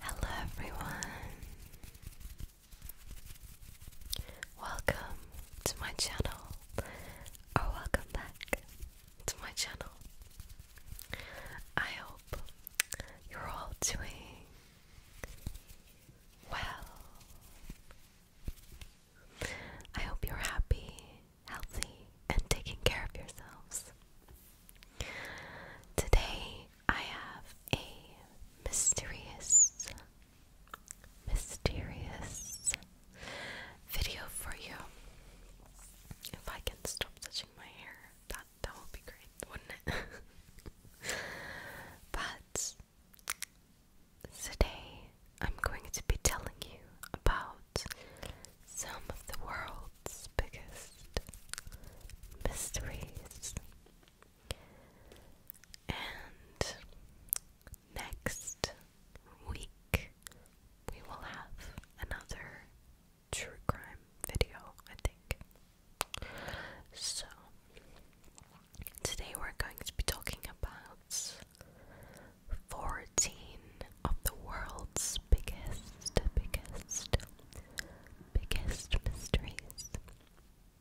Hello, everyone. Welcome to my channel, or oh, welcome back to my channel. I hope you're all doing well. I hope you're happy, healthy, and taking care of yourselves. Today I have a mysterious, mysterious video for you. If I can stop touching my hair, that that would be great, wouldn't it? but today I'm going to be telling you about some of the world's biggest mysteries. And next week, we will have another true crime video, I think. So, today we're going to be talking about 14 of the world's biggest, biggest, biggest mysteries.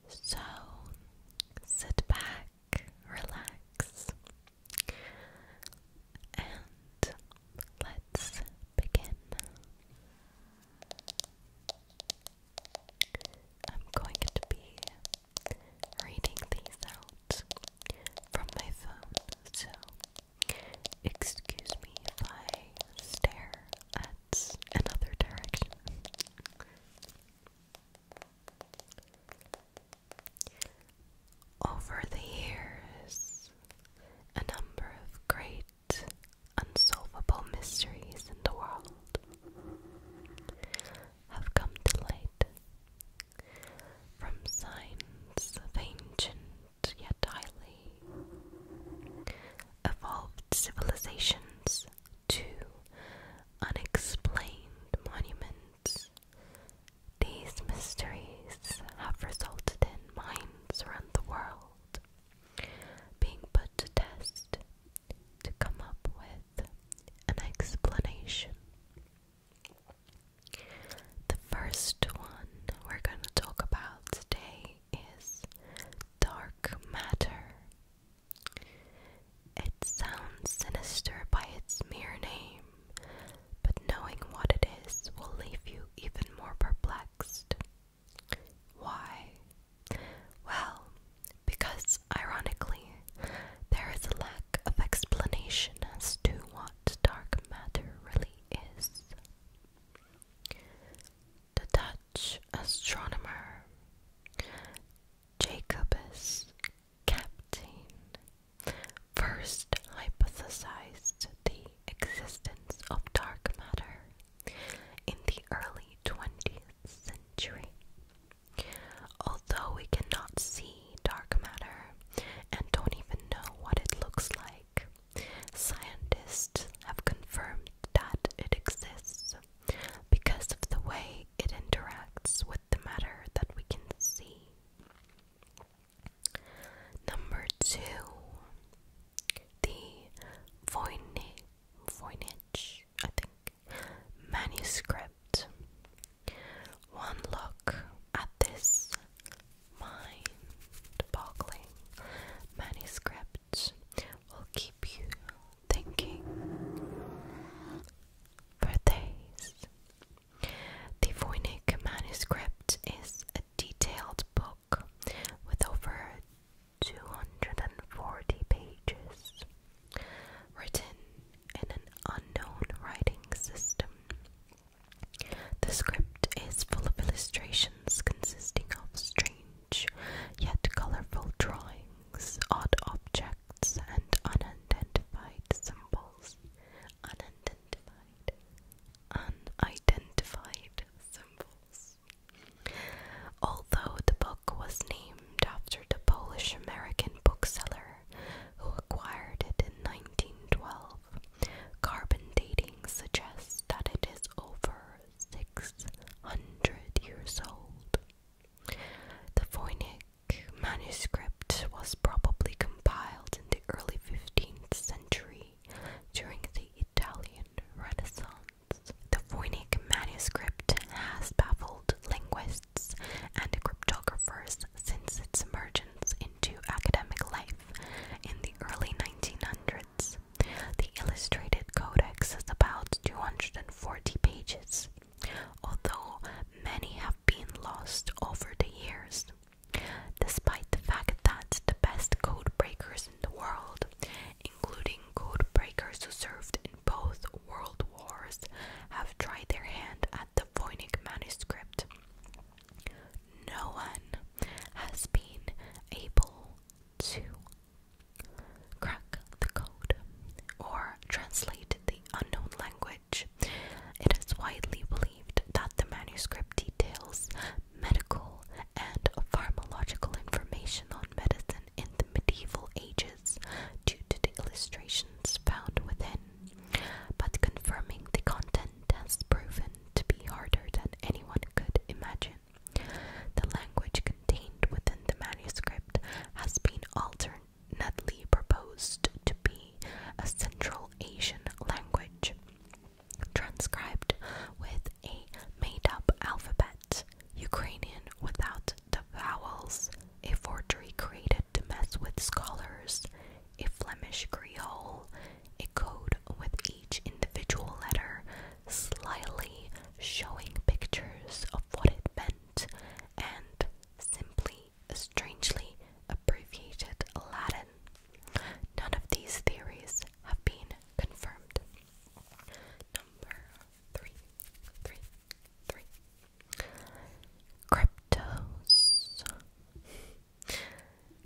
So sit back, relax, and let's begin. I'm going to be reading these out from my phone, so Excuse me if I stare at another direction. Over the years, a number of great unsolvable mysteries in the world have come to light. From signs of ancient yet highly evolved civilizations to unexplained monuments. These mysteries have resulted in minds around the world being put to test to come up with an explanation. The first one we're going to talk about today is dark matter. It sounds sinister by its mere name, but knowing what it is will leave you even more perplexed. Why? Well, because ironically, there is a lack of explanation as to what dark matter really is. The Dutch astronomer Jacobus Captain first hypothesized the existence of dark matter in the early 20th century. Although we cannot see dark matter and don't even know what it looks like, Scientists have confirmed that it exists because of the way it interacts with the matter that we can see. Number two, the Voynich, Voynich I think, manuscript. One look at this mind-boggling manuscript will keep you thinking for days. The Voynich manuscript is a detailed book with over 240 pages, written in an unknown writing system. The script is full of illustrations consisting of strange yet colorful drawings, odd objects, and unidentified symbols. Unidentified. Unidentified symbols. Although the book was named after the Polish American bookseller who acquired it in 1912, Carbon dating suggests that it is over 600 years old. The Voynich manuscript was probably compiled in the early 15th century during the Italian Renaissance. The Voynich manuscript has baffled linguists and cryptographers since its emergence into academic life in the early 1900s. The illustrated codex is about 240 pages, although many have been lost over the years. Despite the fact that the best code breakers in the world, including code breakers who served in both world wars, have tried their hand at the Voynich manuscript no one has been able to crack the code or translate the unknown language. It is widely believed that the manuscript details medical and pharmacological information on medicine in the medieval ages due to the illustrations found within. But confirming the content has proven to be harder than anyone could imagine. The language contained within the manuscript has been alternately proposed to be a Central Asian language, transcribed with a made up alphabet, Ukrainian without the vowels, a forgery created to mess with scholars, a Flemish Creole, a code with each individual letter slightly showing pictures of what it meant, and simply, strangely abbreviated Latin. None of these theories have been confirmed. Number three, three, three. Cryptos.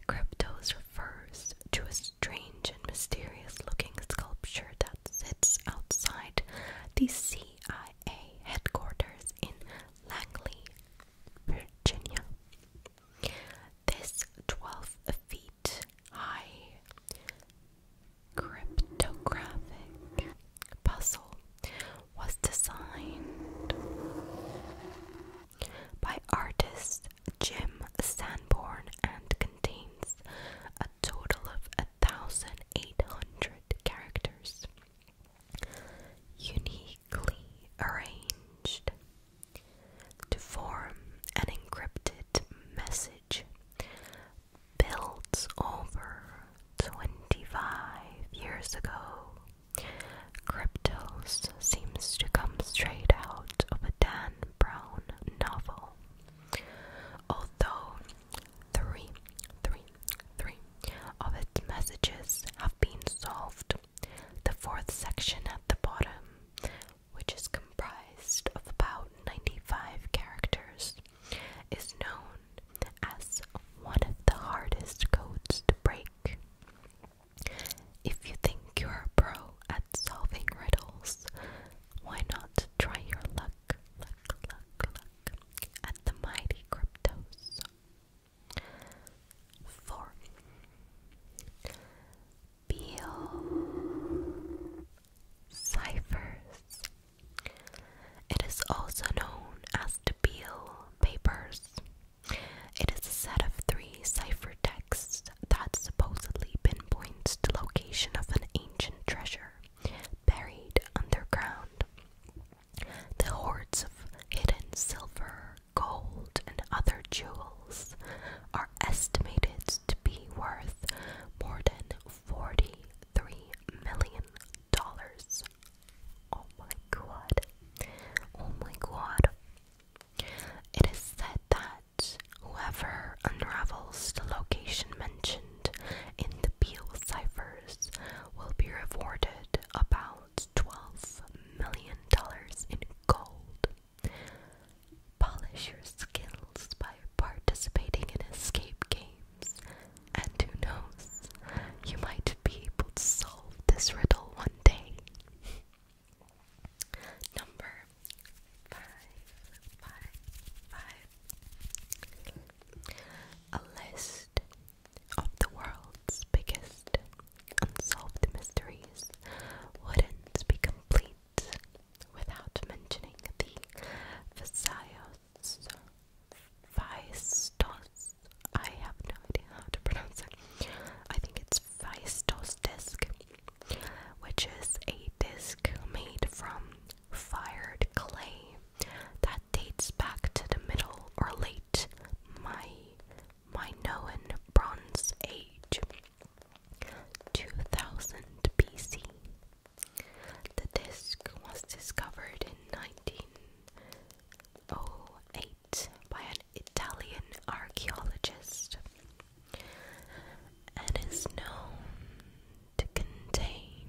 Cryptos refers to a strange and mysterious looking sculpture that sits outside the CIA headquarters in Langley, Virginia. This 12 feet high cryptographic puzzle was designed by artist Jim Sanborn and contains a total of 1,800 characters, uniquely arranged to form an encrypted message built over 25 years ago Cryptos seems to come straight out of a Dan Brown novel. Although three, three, three of its messages have been solved, the fourth section at the bottom, which is comprised of about 95 characters, is known as one of the hardest codes to break. If you think you're a pro at solving riddles, why not try your luck, luck, luck, luck at the mighty cryptos? 4. Peel ciphers. It is also known as the Peel papers. It is a set of three cipher texts that supposedly pinpoints the location of an ancient treasure buried underground. The hoards of hidden silver, gold, and other jewels are estimated to be worth more than $43 million Oh my god. Oh my god. It is said that whoever unravels the location mentioned in the Peel ciphers will be rewarded about $12 million in gold. Polish your skills by participating in escape games, and who knows, you might be able to solve solve this riddle one day. Number five, five, five. A list of the world's biggest unsolved mysteries wouldn't be complete without mentioning the Visayas Phaistos. I have no idea how to pronounce it. I think it's Phaistos disc, which is a disc made from fired clay that dates back to the middle or late my Minoan Bronze Age, 2000 BC. The disc was discovered in 1908 by an Italian archaeologist and is known to contain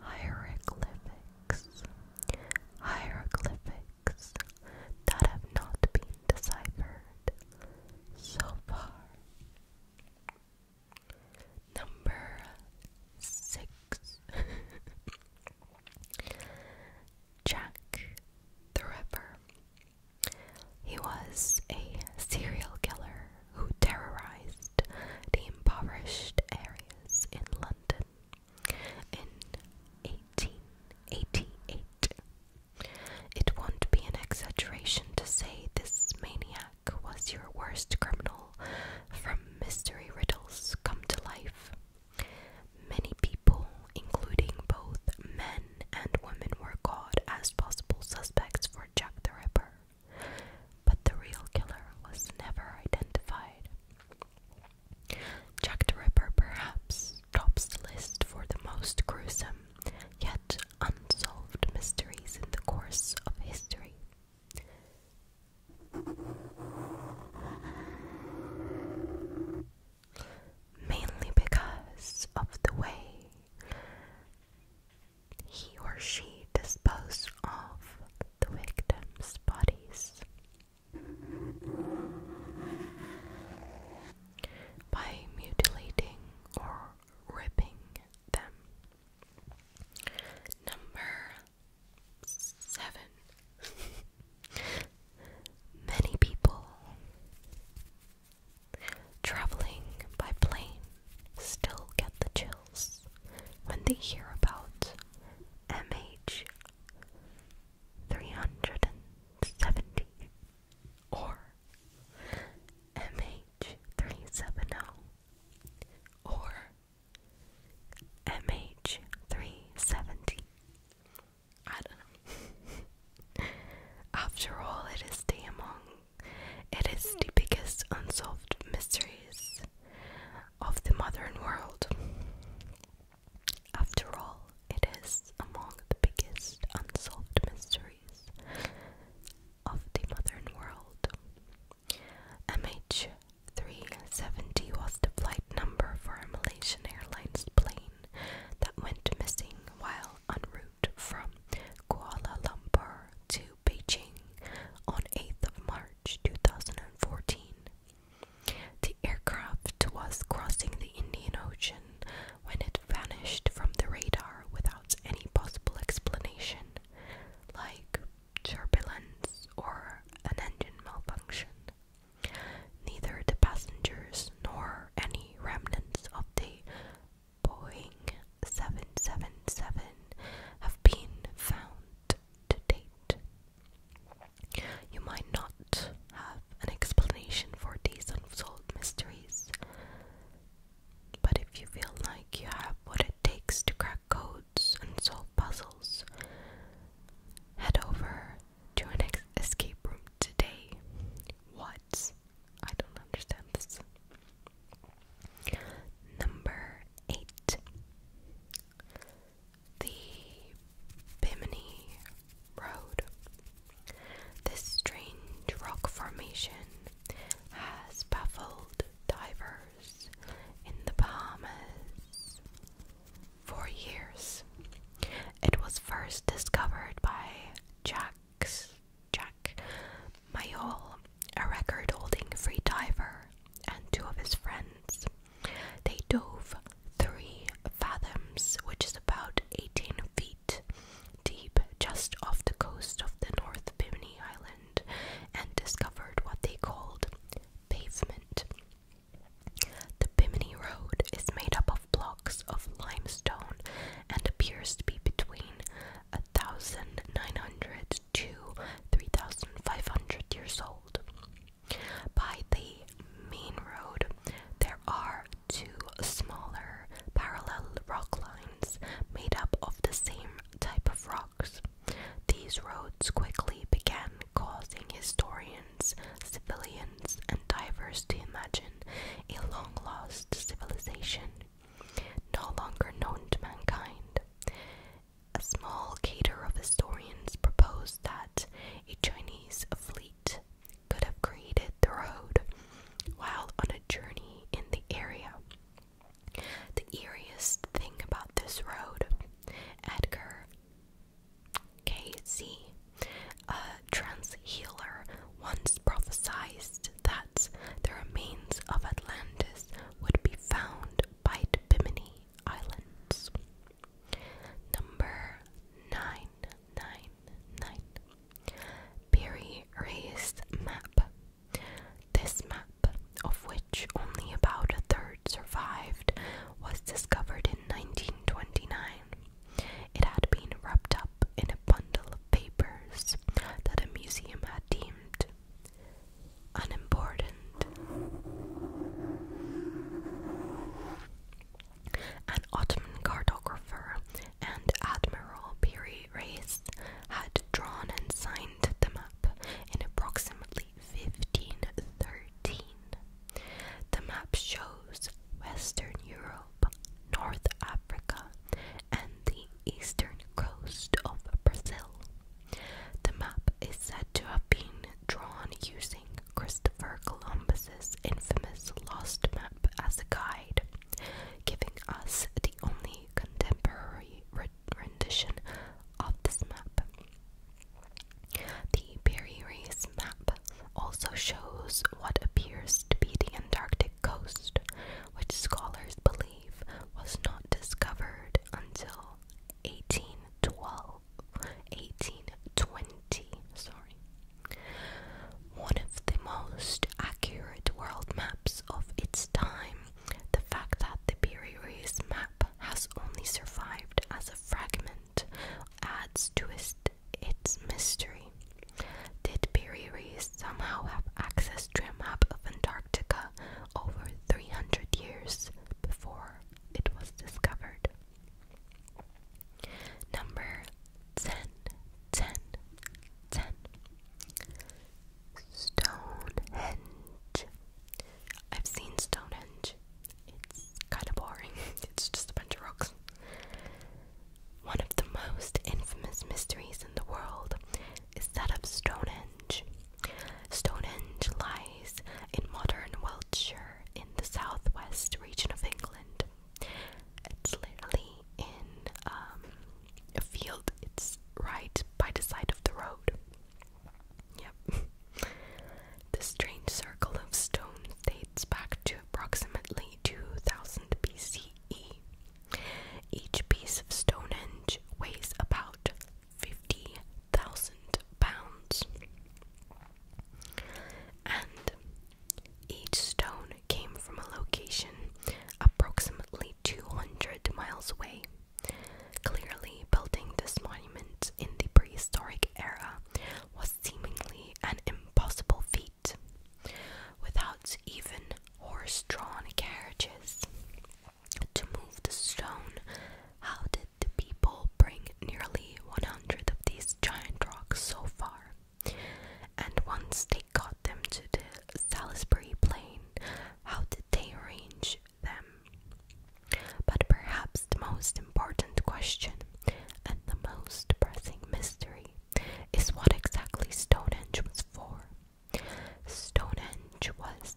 hieroglyphics, hieroglyphics that have not been deciphered so far. Number six. Jack the Ripper. He was a serial killer who terrorized the impoverished areas in London in 1888. It won't be an exaggeration to say this maniac was your worst criminal from Mystery Riddles come to life. Many people, including both men and women, were caught as possible suspects for Jack the Ripper, but the real killer was never identified. Jack the Ripper perhaps tops the list for the most gruesome, yet unsolved mysteries in the course of history. Mainly because of the way he or she disposed of the victims' bodies by mutilating or ripping them. Number Seven. Many people traveling by plane still get the chills when they hear about MH 370 or MH 370 or MH370. I don't know. After all, it is among, it is the biggest unsolved mysteries of the modern world. After all, it is among the biggest unsolved mysteries of the modern world. MH 370 was the flight number for a Malaysian Airlines plane that went missing while en route from Kuala Lumpur to Beijing on 8th of March 2014. The aircraft was crossing the Indian Ocean when it vanished from the radar without any possible explanation, like turbulence or an engine malfunction. Neither the passengers nor any remnants of the Boeing 777 have been found to date. You might not have an explanation for these unsolved mysteries, but if you feel like you have what it takes to crack codes and solve puzzles. Head over to an escape room today. What? I don't understand this. Number eight. The Bimini Road. This strange rock formation has baffled divers in the Bahamas for years. It was first discovered by Jacques, Jack Mayol, a record holding free diver, and two of his friends. They dove three fathoms, which is about 18 feet deep, just off the coast of the North Bimini Island and discovered what they called pavement. The Bimini Road is made up of blocks of limestone and appears to be between a 1900 to 3500 years old. By the main road, there are two smaller parallel rock lines made up of the same type of rocks. These roads quickly began causing historians, civilians, and divers to imagine a long lost civilization no longer known to mankind. A small cater of historians proposed that a Chinese fleet could have created the road while on a journey in the area. The eeriest thing about this road, Edgar Casey, a trans healer, once prophesied that the remains of Atlantis would be found by the Bimini Islands. Number 999 Berry raised map this map, of which only about a third survived, was discovered in 1929. It had been wrapped up in a bundle of papers that a museum had deemed unimportant. An Ottoman cartographer and admiral Peary race had drawn and signed the map in approximately 1513. The map shows Western Europe, North Africa, and the eastern coast of Brazil. The map is said to have been drawn using Christopher Columbus's infamous lost map as a guide, giving us the only contemporary rendition of this map. The Berry Race map also shows what appears to be the Antarctic coast, which scholars believe was not discovered until 1812, 1820, sorry. One of the most accurate world maps of its time the fact that the Biriri's map has only survived as a fragment adds to its, mystery. Did Biriri somehow have access to a map of Antarctica over 300 years before it was discovered? Number 10, Stonehenge. I've seen Stonehenge. It's kind of boring. It's just a bunch of rocks. One of the most infamous mysteries in the world is that of Stonehenge. Stonehenge lies in modern Wiltshire in the southwest region of England. It's literally in um, a field. It's right by the side of the road. Yep. the strange circle of stone dates back to approximately 2000 BCE. Each piece of stone Stonehenge weighs about 50,000 pounds. And each stone came from a location approximately 200 miles away. Clearly, building this monument in the prehistoric era was seemingly an impossible feat, without even horse drawn carriages. To move the stone, how did the people bring nearly 100 of these giant rocks so far? And once they got them to the Salisbury Plain, how did they arrange them? But perhaps the most important question and the most pressing mystery is what exactly Stonehenge was for. Stonehenge was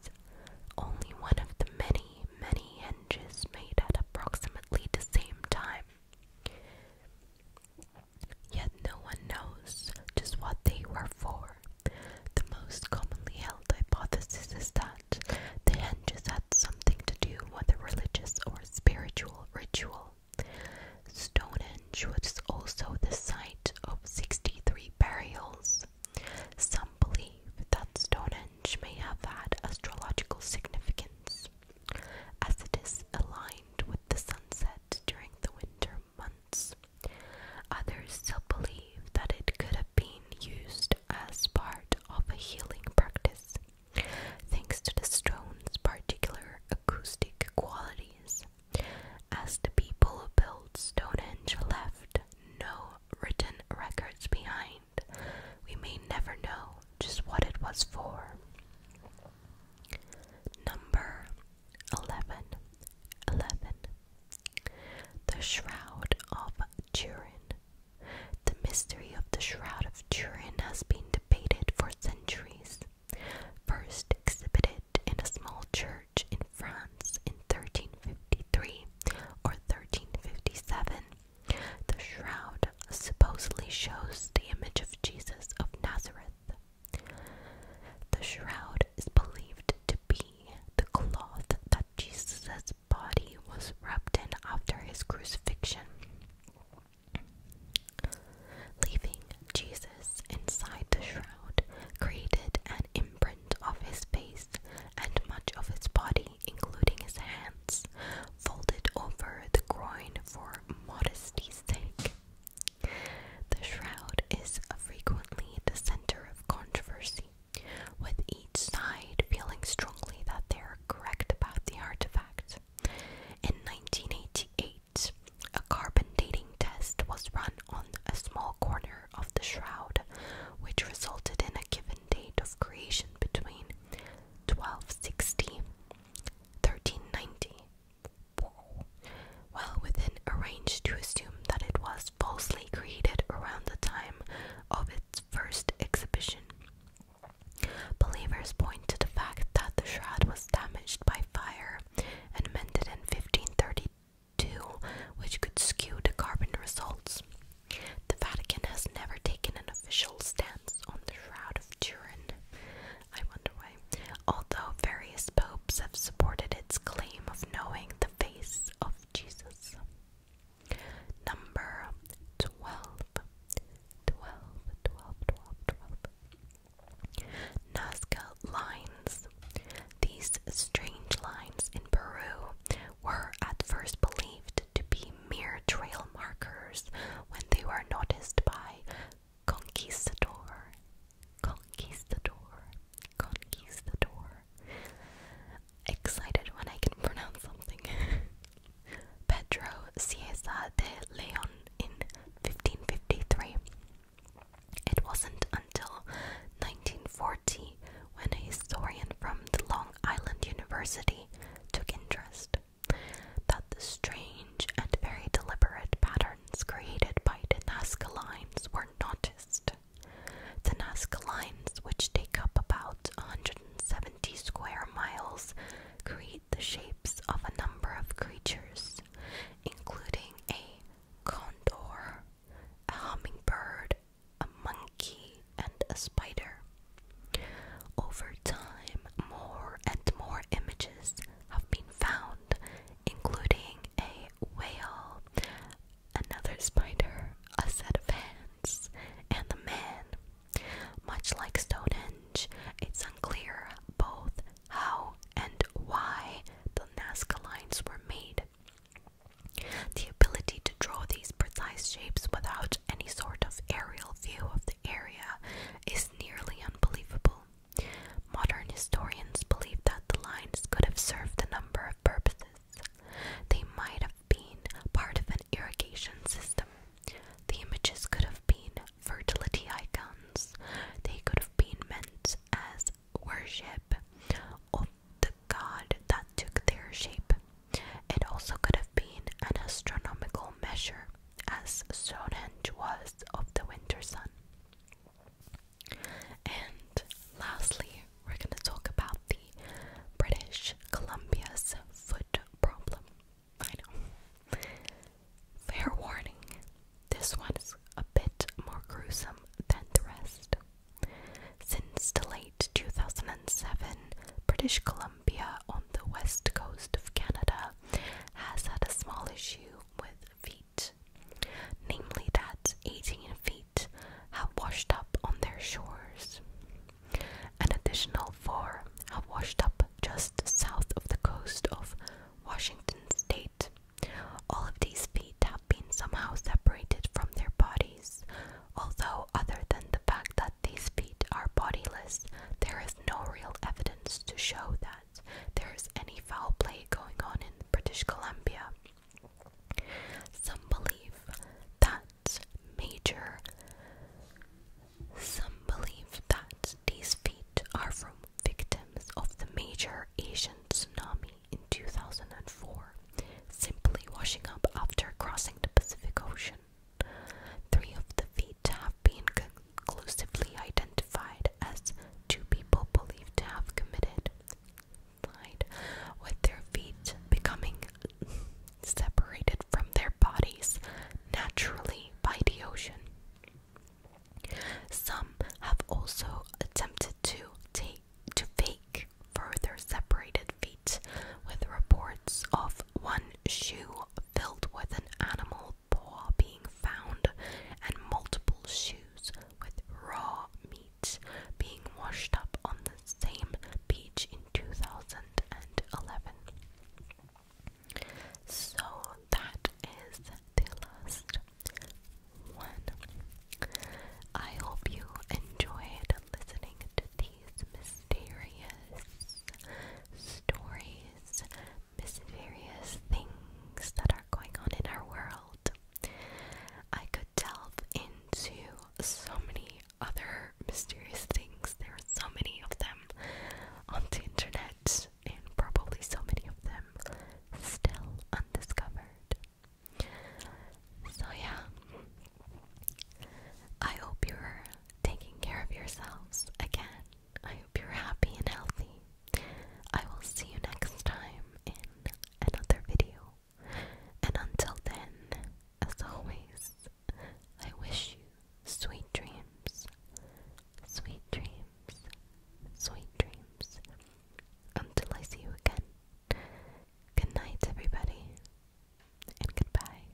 only one of the many, many henges made at approximately the same time. Yet no one knows just what they were for. The most commonly held hypothesis is that the hinges had something to do with a religious or spiritual ritual. Stonehenge was also the site of 63 burials. Some believe that Stonehenge may have had astrological significance, as it is aligned with the sunset during the winter months. Others still believe that it could have been used as part of a healing practice, thanks to the stone's particular acoustic qualities, as the people who built Stonehenge left no written records behind. We may never know just what it was for. Number 11. The Shroud of Turin. The mystery of the Shroud of Turin has been debated for centuries. First exhibited in a small church in France in 1353 or 1357, the shroud supposedly shows the image of Jesus of Nazareth the shroud is believed to be the cloth that Jesus' body was wrapped in after his crucifixion, leaving Jesus inside the shroud created an imprint of his face and much of his body, including his hands, folded over the groin for modesty's sake. The shroud is frequently the center of controversy, with each side feeling strongly that they are correct about the artifact. In 1988, a carbon dating test was run on a small corner of the shroud, which resulted in a given date of creation between 1260 1390 well within a to assume that it was falsely created around the time of its first exhibition. Believers point to the fact that the shroud was damaged by fire and mended in 1532, which could skew the carbon results. The Vatican has never taken an official stance on the Shroud of Turin, I wonder why. Although various popes have supported its claim of knowing the face of Jesus. Number 12. Nazca lines. These strange lines in Peru were at first believed to be mere trail markers when they were noticed by Conquistador, conquistador, conquistador. Excited when I can pronounce something. Pedro Cieza de Leon in 1553. It wasn't until 1940 when a historian from the Long Island University took interest that the strange and very deliberate pattern created by the Nazca lines were noticed. The Nazca lines, which take up about 170 square miles, create the shapes of a number of creatures, including a condor, a hummingbird, a monkey, and a spider. Over time, more and more images have been found, including a whale, another spider, a set of hands, and the man. Much like Stonehenge, it's unclear both how and why the Nazca lines were made. The ability to draw these precise shapes without any sort of aerial view of the area is nearly unbelievable. Modern historians believe that the lines could have served a number of purposes. They might have been part of an irrigation system. The images could have been fertility icons. They could have been meant as worship of the god that took their shape. It also could have been an astronomical measure, as Stonehenge was of the winter sun. And lastly, we're going to talk about the British Columbia's foot problem. I know. Fair warning, this one is a bit more gruesome than the rest. Since the late 2007, British Columbia on the west coast of Canada has had a small issue with feet namely that 18 feet have washed up on their shores. An additional four have washed up just south of the coast of Washington State. All of these feet have been somehow separated from their bodies, although, other than the fact that these feet are bodiless, there is no real evidence to show that there is any foul play going on in British Columbia. Some believe that major. Some believe that these feet are from victims of the major Asian tsunami in 2004, simply washing up after crossing the Pacific Ocean. Three of the feet have been conclusively identified as two people believed to have committed with their feet becoming separated from their bodies naturally by the ocean. Some have also attempted to take to fake further separated feet with reports of one shoe filled with an animal paw being found, and multiple shoes with raw meat being washed up on the same beach in 2011. So that is the last one. I hope you enjoyed listening to these mysterious stories mysterious things that are going on in our world. I could delve into so many other mysterious things. There are so many of them on the internet, and probably so many of them still undiscovered. So, yeah, I hope you're taking care of yourselves again I hope you're happy and healthy. I will see you next time in another video. And until then, as always, I wish you sweet dreams. Sweet dreams. Sweet dreams. Until I see you again. Good night, everybody. And goodbye.